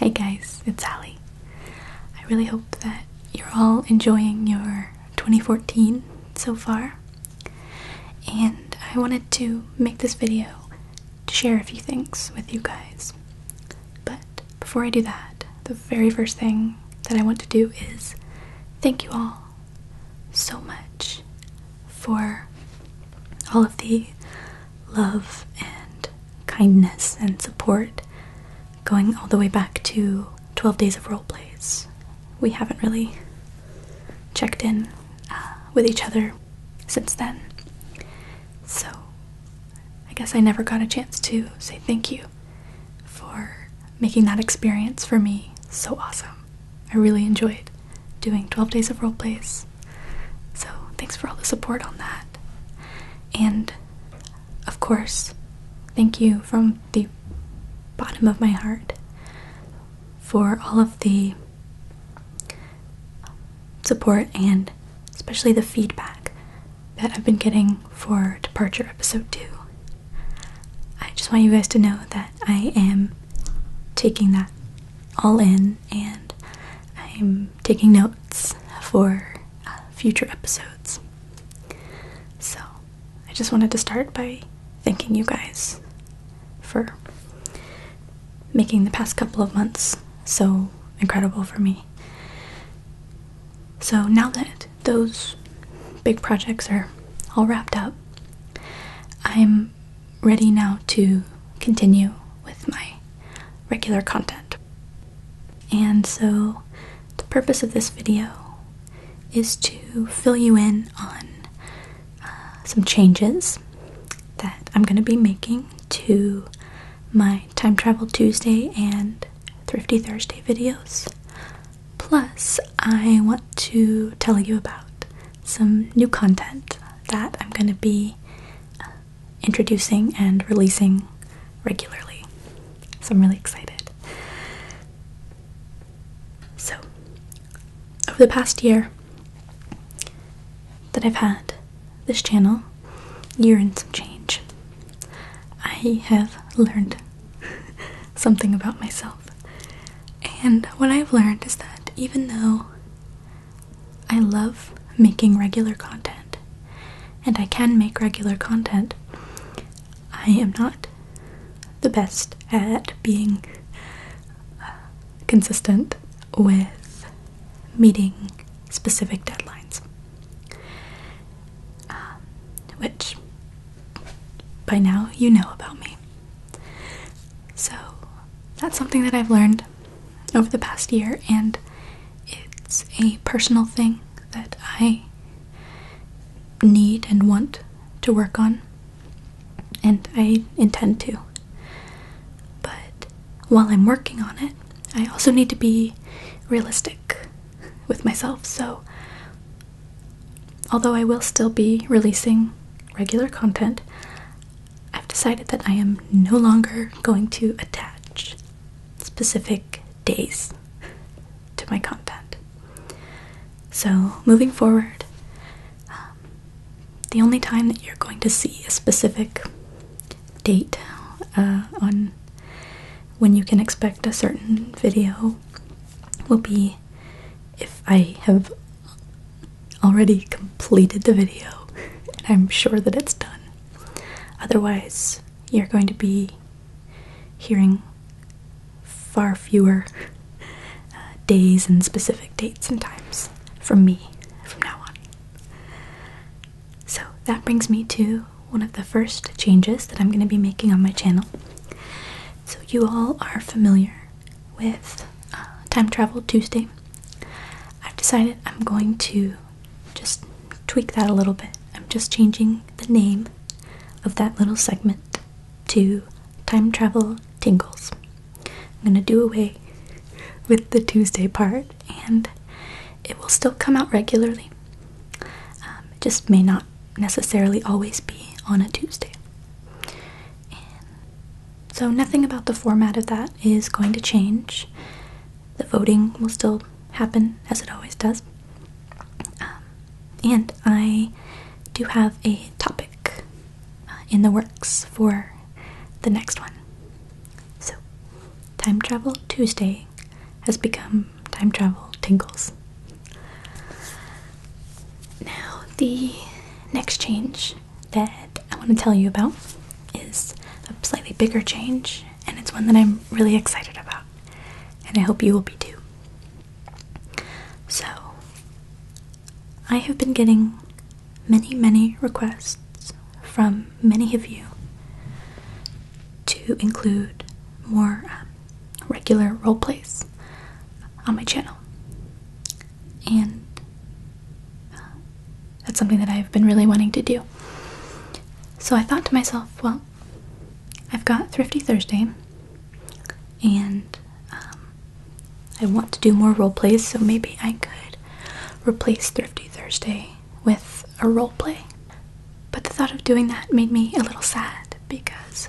Hey guys, it's Sally. I really hope that you're all enjoying your 2014 so far. And I wanted to make this video to share a few things with you guys. But before I do that, the very first thing that I want to do is thank you all so much for all of the love and kindness and support going all the way back to 12 days of role plays. We haven't really checked in uh, with each other since then. So I guess I never got a chance to say thank you for making that experience for me so awesome. I really enjoyed doing 12 Days of role plays. So thanks for all the support on that. And of course, thank you from the bottom of my heart for all of the support and especially the feedback that I've been getting for Departure Episode 2. I just want you guys to know that I am taking that all in and I'm taking notes for uh, future episodes. So, I just wanted to start by thanking you guys for making the past couple of months so incredible for me. So now that those big projects are all wrapped up, I'm ready now to continue with my regular content. And so the purpose of this video is to fill you in on uh, some changes that I'm going to be making to my Time Travel Tuesday and Thrifty Thursday videos. Plus, I want to tell you about some new content that I'm going to be uh, introducing and releasing regularly. So, I'm really excited. So, over the past year that I've had this channel, you're in some change. I have learned something about myself. And what I've learned is that even though I love making regular content, and I can make regular content, I am not the best at being uh, consistent with meeting specific deadlines, um, which by now you know about me. So that's something that I've learned over the past year, and it's a personal thing that I need and want to work on, and I intend to. But while I'm working on it, I also need to be realistic with myself. So, although I will still be releasing regular content, I've decided that I am no longer going to attach specific days to my content. So, moving forward, um, the only time that you're going to see a specific date uh, on when you can expect a certain video will be if I have already completed the video I'm sure that it's done. Otherwise, you're going to be hearing far fewer uh, days and specific dates and times from me from now on. So that brings me to one of the first changes that I'm going to be making on my channel. So, you all are familiar with uh, Time Travel Tuesday. I've decided I'm going to just tweak that a little bit. I'm just changing the name of that little segment to Time Travel Tingles. I'm going to do away with the Tuesday part and it will still come out regularly. Um, it just may not necessarily always be on a Tuesday. so, nothing about the format of that is going to change. The voting will still happen as it always does. Um, and I do have a topic uh, in the works for the next one. So, Time Travel Tuesday has become Time Travel Tingles. Now, the next change that I want to tell you about is a slightly bigger change, and it's one that I'm really excited about, and I hope you will be too. So, I have been getting many, many requests from many of you to include more um, regular role plays on my channel. And uh, that's something that I've been really wanting to do. So I thought to myself, well, I've got Thrifty Thursday, and um, I want to do more role plays, so maybe I could replace Thrifty Thursday with a role play. But the thought of doing that made me a little sad because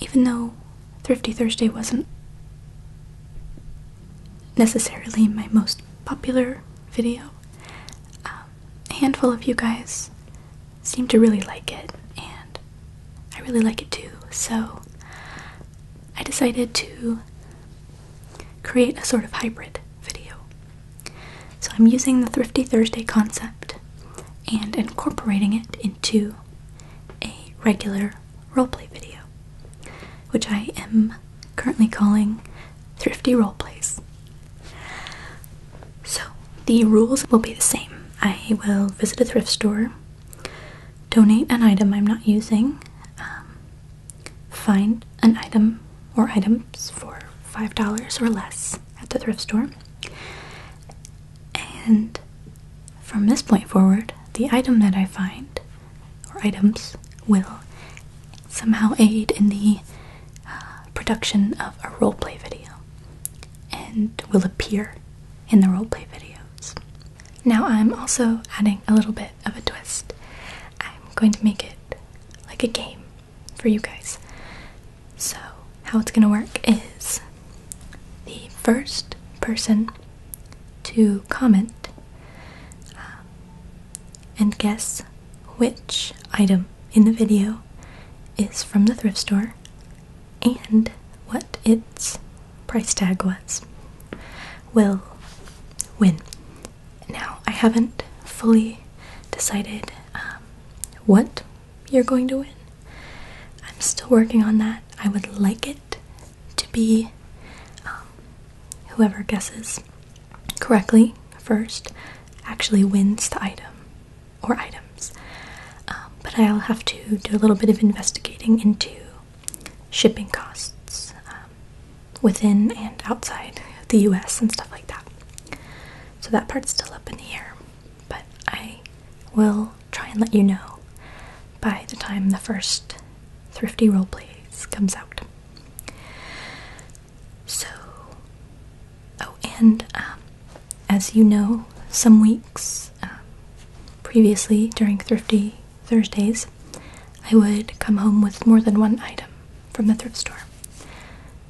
even though Thrifty Thursday wasn't necessarily my most popular video, um, a handful of you guys seemed to really like it, and I really like it too, so I decided to create a sort of hybrid video. So I'm using the Thrifty Thursday concept and incorporating it into a regular roleplay video, which I am currently calling Thrifty Roleplays. So the rules will be the same. I will visit a thrift store, donate an item I'm not using, um, Find an item or items for $5 or less at the thrift store. And from this point forward, the item that I find or items will somehow aid in the uh, production of a roleplay video and will appear in the roleplay videos. Now I'm also adding a little bit of a twist. I'm going to make it like a game for you guys. So, how it's going to work is the first person to comment um, and guess which item in the video is from the thrift store and what its price tag was will win. Now, I haven't fully decided um, what you're going to win. I'm still working on that. I would like it to be um, whoever guesses correctly first actually wins the item or items. Um, but I'll have to do a little bit of investigating into shipping costs um, within and outside the US and stuff like that. So that part's still up in the air, but I will try and let you know by the time the first Thrifty Roleplays comes out. So, oh, and um, as you know, some weeks um, previously during Thrifty Thursdays, I would come home with more than one item from the thrift store.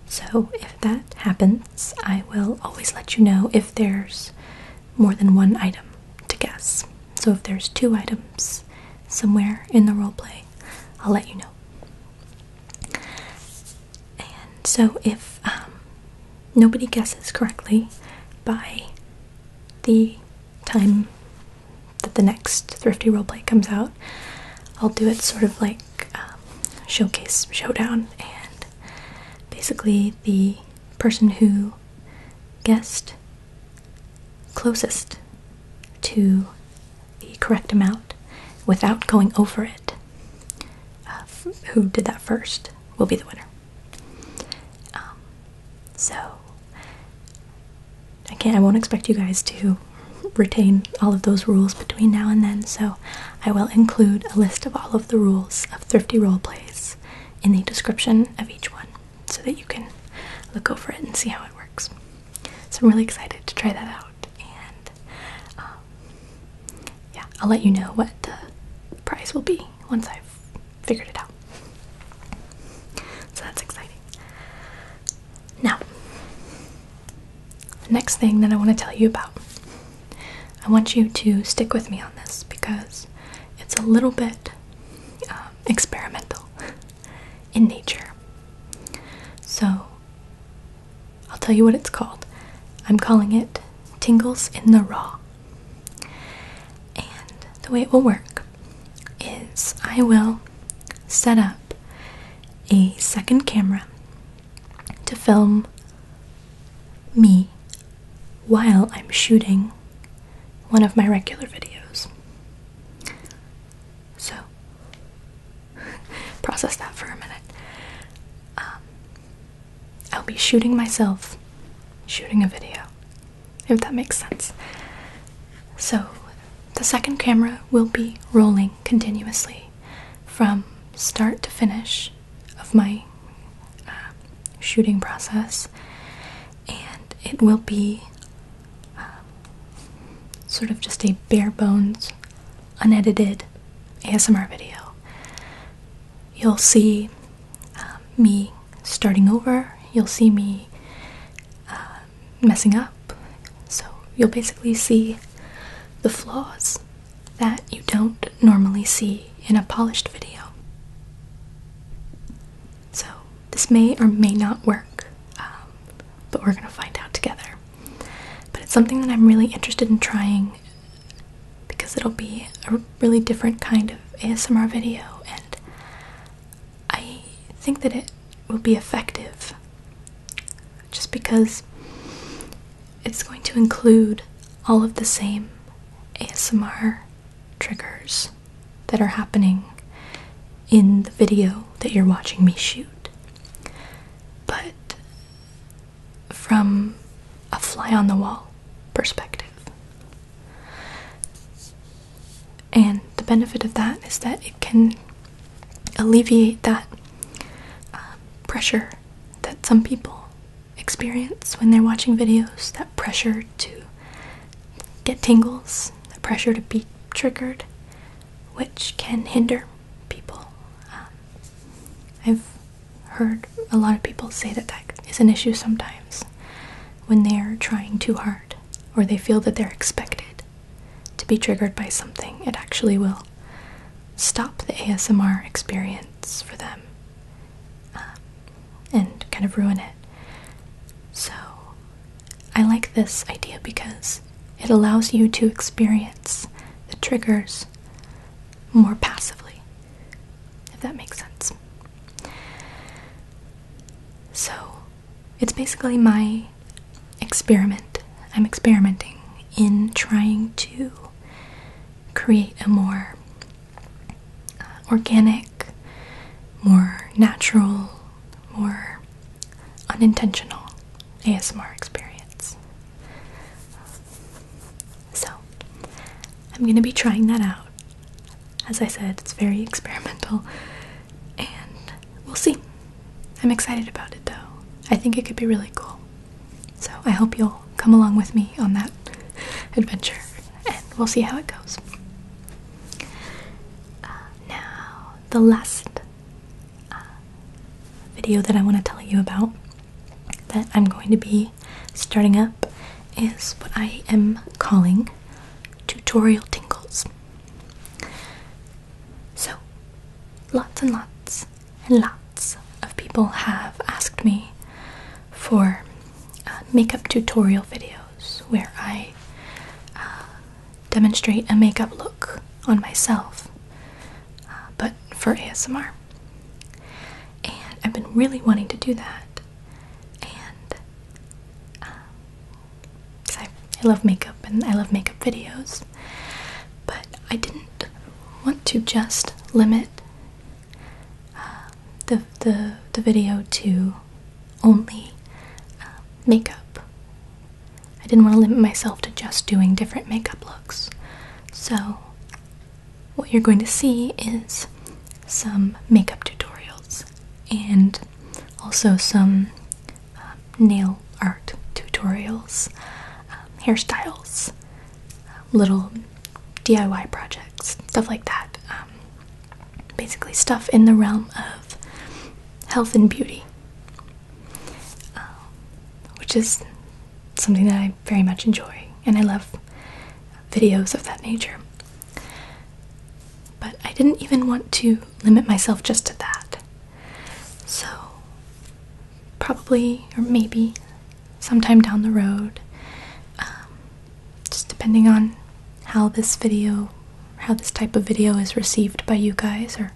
So if that happens, I will always let you know if there's more than one item to guess. So if there's two items somewhere in the role play, I'll let you know. And so if um, nobody guesses correctly by the time that the next Thrifty Roleplay comes out, I'll do it sort of like um, Showcase Showdown, and basically the person who guessed closest to the correct amount without going over it, uh, who did that first, will be the winner. Um, so I can't I won't expect you guys to retain all of those rules between now and then, so I will include a list of all of the rules of thrifty role plays in the description of each one so that you can look over it and see how it works. So I'm really excited to try that out and um, yeah, I'll let you know what the prize will be once I've figured it out. So that's exciting. Now, next thing that I want to tell you about, I want you to stick with me on this because it's a little bit um, experimental in nature. So, I'll tell you what it's called. I'm calling it Tingles in the Raw. And the way it will work is I will set up a second camera to film me while I'm shooting one of my regular videos. So, process that for a minute. Um, I'll be shooting myself, shooting a video, if that makes sense. So, the second camera will be rolling continuously from start to finish of my uh, shooting process, and it will be uh, sort of just a bare bones, unedited ASMR video. You'll see uh, me starting over, you'll see me uh, messing up. So you'll basically see the flaws that you don't normally see in a polished video. So this may or may not work, um, but we're gonna find out together. But it's something that I'm really interested in trying because it'll be a really different kind of ASMR video, and I think that it will be effective just because it's going to include all of the same ASMR triggers that are happening in the video that you're watching me shoot. But from a fly on the wall perspective. And the benefit of that is that it can alleviate that uh, pressure that some people experience when they're watching videos that pressure to get tingles, the pressure to be triggered, which can hinder people. Um, I've heard a lot of people say that that is an issue sometimes when they're trying too hard or they feel that they're expected to be triggered by something, it actually will stop the ASMR experience for them um, and kind of ruin it. So I like this idea because it allows you to experience the triggers more passively, if that makes sense. So it's basically my experiment. I'm experimenting in trying to create a more uh, organic, more natural, more unintentional ASMR experience. So I'm gonna be trying that out. As I said, it's very experimental, and we'll see. I'm excited about it though. I think it could be really cool. So I hope you'll come along with me on that adventure, and we'll see how it goes. Uh, now, the last uh, video that I want to tell you about that I'm going to be starting up is what I am calling tutorial tingles. So, lots and lots and lots of people have asked me for uh, makeup tutorial videos where I uh, demonstrate a makeup look on myself, uh, but for ASMR. And I've been really wanting to do that and um, I, I love makeup and I love makeup videos, but I didn't want to just limit um, the, the the video to only um, makeup. I didn't want to limit myself to just doing different makeup looks, so what you're going to see is some makeup tutorials and also some uh, nail art tutorials, um, hairstyles, um, little DIY projects, stuff like that. Um, basically, stuff in the realm of health and beauty, which is something that I very much enjoy and I love videos of that nature. But I didn't even want to limit myself just to that. So, probably or maybe sometime down the road, um, just depending on how this video, how this type of video is received by you guys or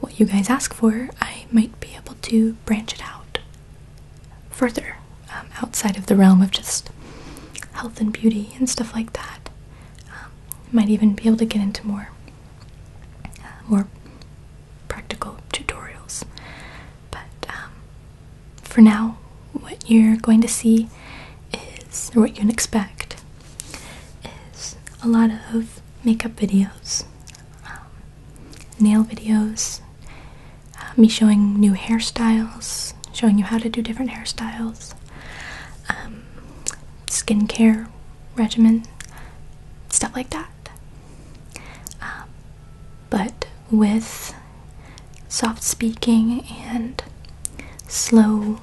what you guys ask for, I might be able to branch it out further um, outside of the realm of just health and beauty and stuff like that. Um, might even be able to get into more uh, more practical tutorials. But um, for now, what you're going to see is, what you can expect, is a lot of makeup videos, um, nail videos, uh, me showing new hairstyles, showing you how to do different hairstyles, um, skincare regimen, stuff like that. Um, but with soft speaking and slow,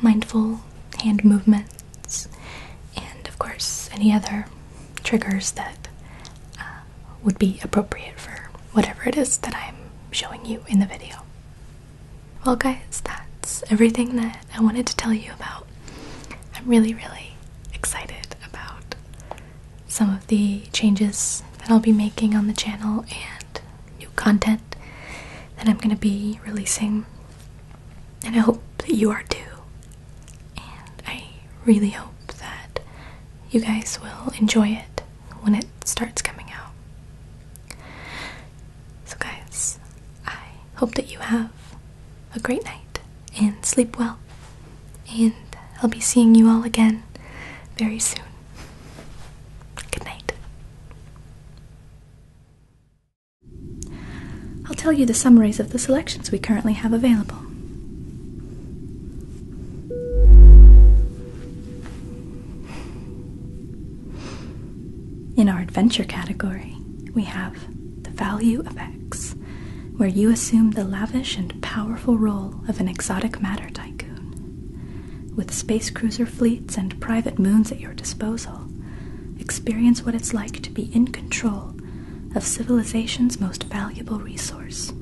mindful hand movements, and of course, any other triggers that uh, would be appropriate for whatever it is that I'm showing you in the video. Well, guys, that's everything that I wanted to tell you about. I'm really, really excited about some of the changes that I'll be making on the channel and new content that I'm going to be releasing. And I hope that you are too. And I really hope that you guys will enjoy it when it starts coming out. So, guys, I hope that you have a great night and sleep well. And I'll be seeing you all again very soon. Good night. I'll tell you the summaries of the selections we currently have available. In our adventure category, we have the value of X, where you assume the lavish and powerful role of an exotic matter tycoon. With space cruiser fleets and private moons at your disposal, experience what it's like to be in control of civilization's most valuable resource.